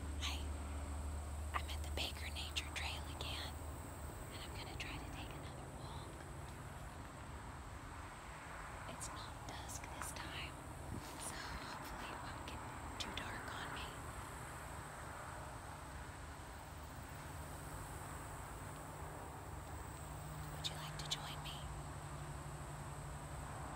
I'm at the Baker Nature Trail again, and I'm going to try to take another walk. It's not dusk this time, so hopefully it won't get too dark on me. Would you like to join me?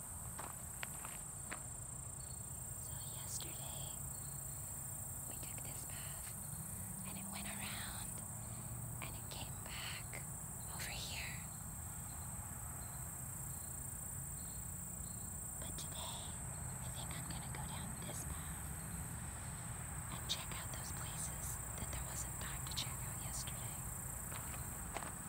So yesterday, we took this path and it went around and it came back over here. But today, I think I'm gonna go down this path and check out those places that there wasn't time to check out yesterday.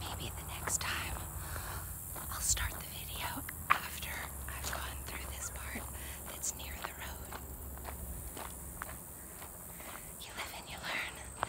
Maybe the next time I'll start the video after I've gone through this part that's near the road. You live and you learn.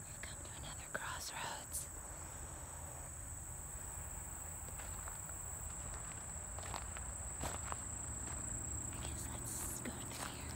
We've come to another crossroads. I guess let's go through here.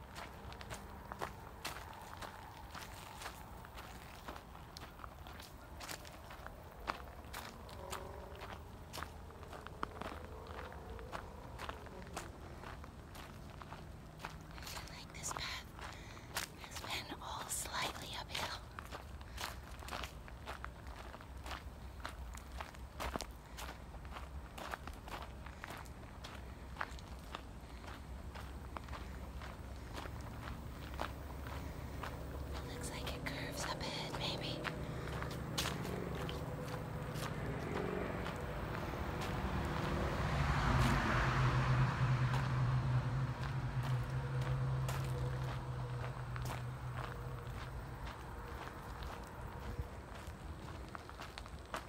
like this path has been all slightly uphill. Looks like it curves up ahead, maybe.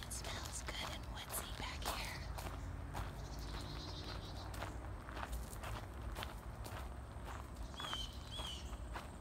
It smells good and woodsy back here.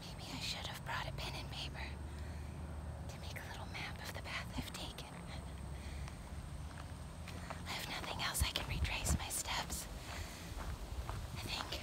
Maybe I should have brought a pen and paper to make a little map of the path I've taken. I have nothing else I can retrace my steps. I think.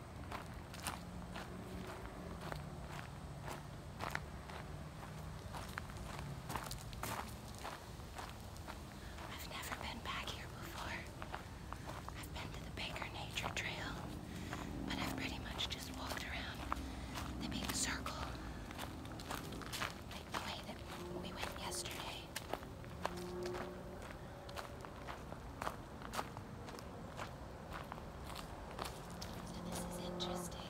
I've never been back here before. I've been to the Baker Nature Trail, but I've pretty much just walked around They made a circle. the way that we went yesterday. So this is interesting.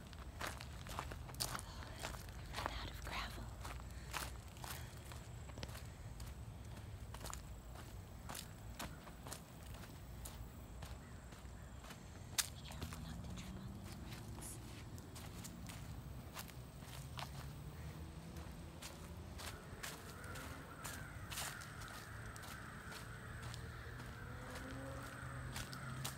Run out of gravel. Be careful not to trip on these rocks.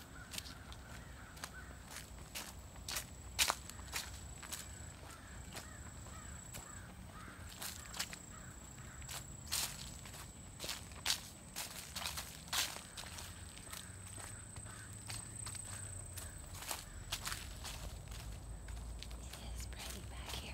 It is pretty back here.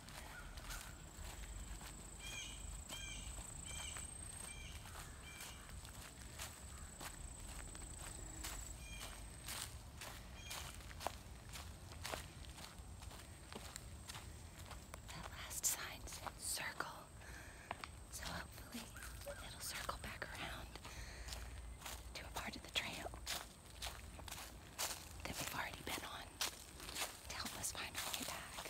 That last sign said circle, so hopefully it'll circle back around to a part of the trail that we've already been on to help us find our way back.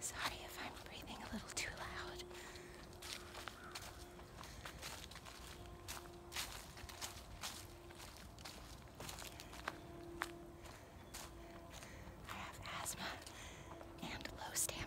Sorry if I'm breathing a little too loud. I have asthma and low stamina.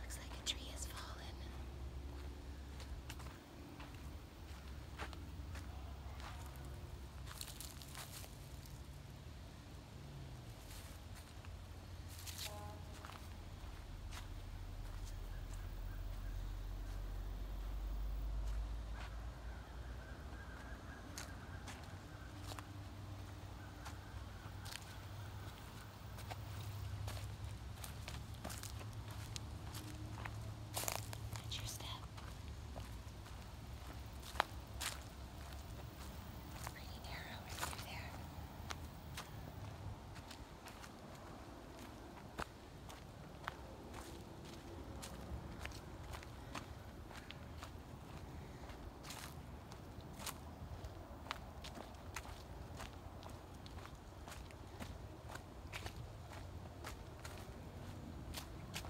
Looks like a tree has fallen. Watch your step. Pretty narrow in through there.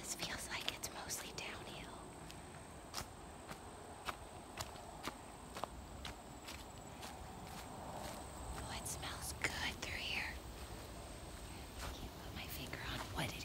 This feels like it's mostly downhill. Oh, it smells good through here. can't put my finger on what it is.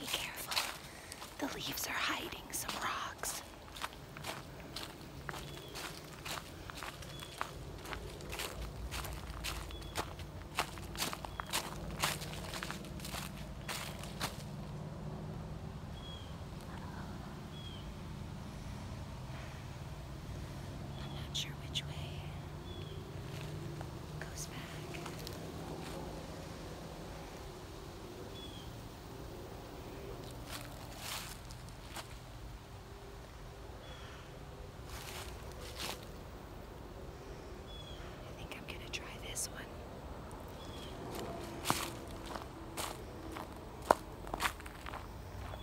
Be careful. The leaves are hiding some rocks. I'm not sure which way goes back. I think I'm going to try this one.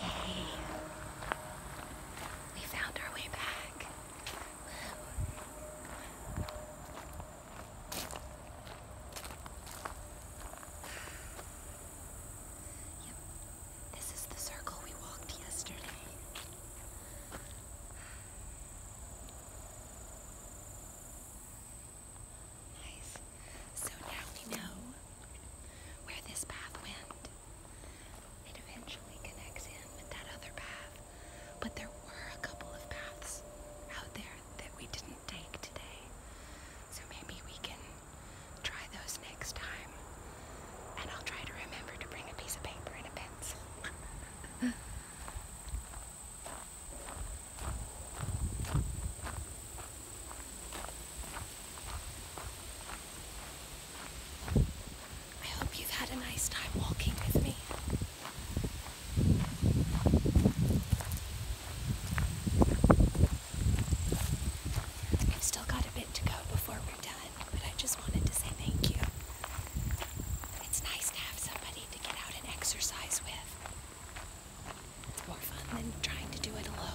Yay. We found our way back. Woo. Yep. This is the circle we walked yesterday. Nice. So now we know where this path went. It eventually connects in with that other path. But there were a couple of paths out there that we didn't take today. So maybe we can try those next time. And I'll try to remember to bring a piece of paper and a pencil. I hope you've had a nice time walking with me. I've still got a bit to go before we're done, but I just wanted to say thank you. It's nice to have somebody somebody to get out and exercise with. It's more fun than trying to do it alone.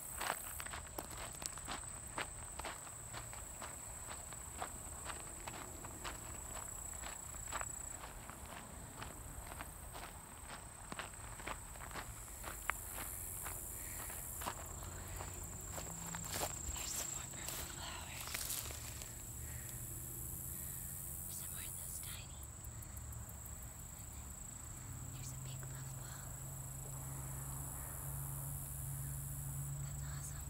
There's some more purple flowers. Some more of those tiny. And then there's a big puffball. That's awesome.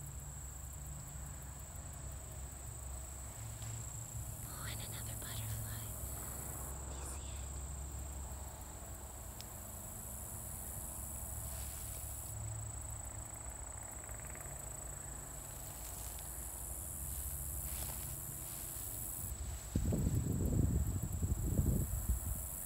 Oh, and another butterfly. Do you see it? Wow,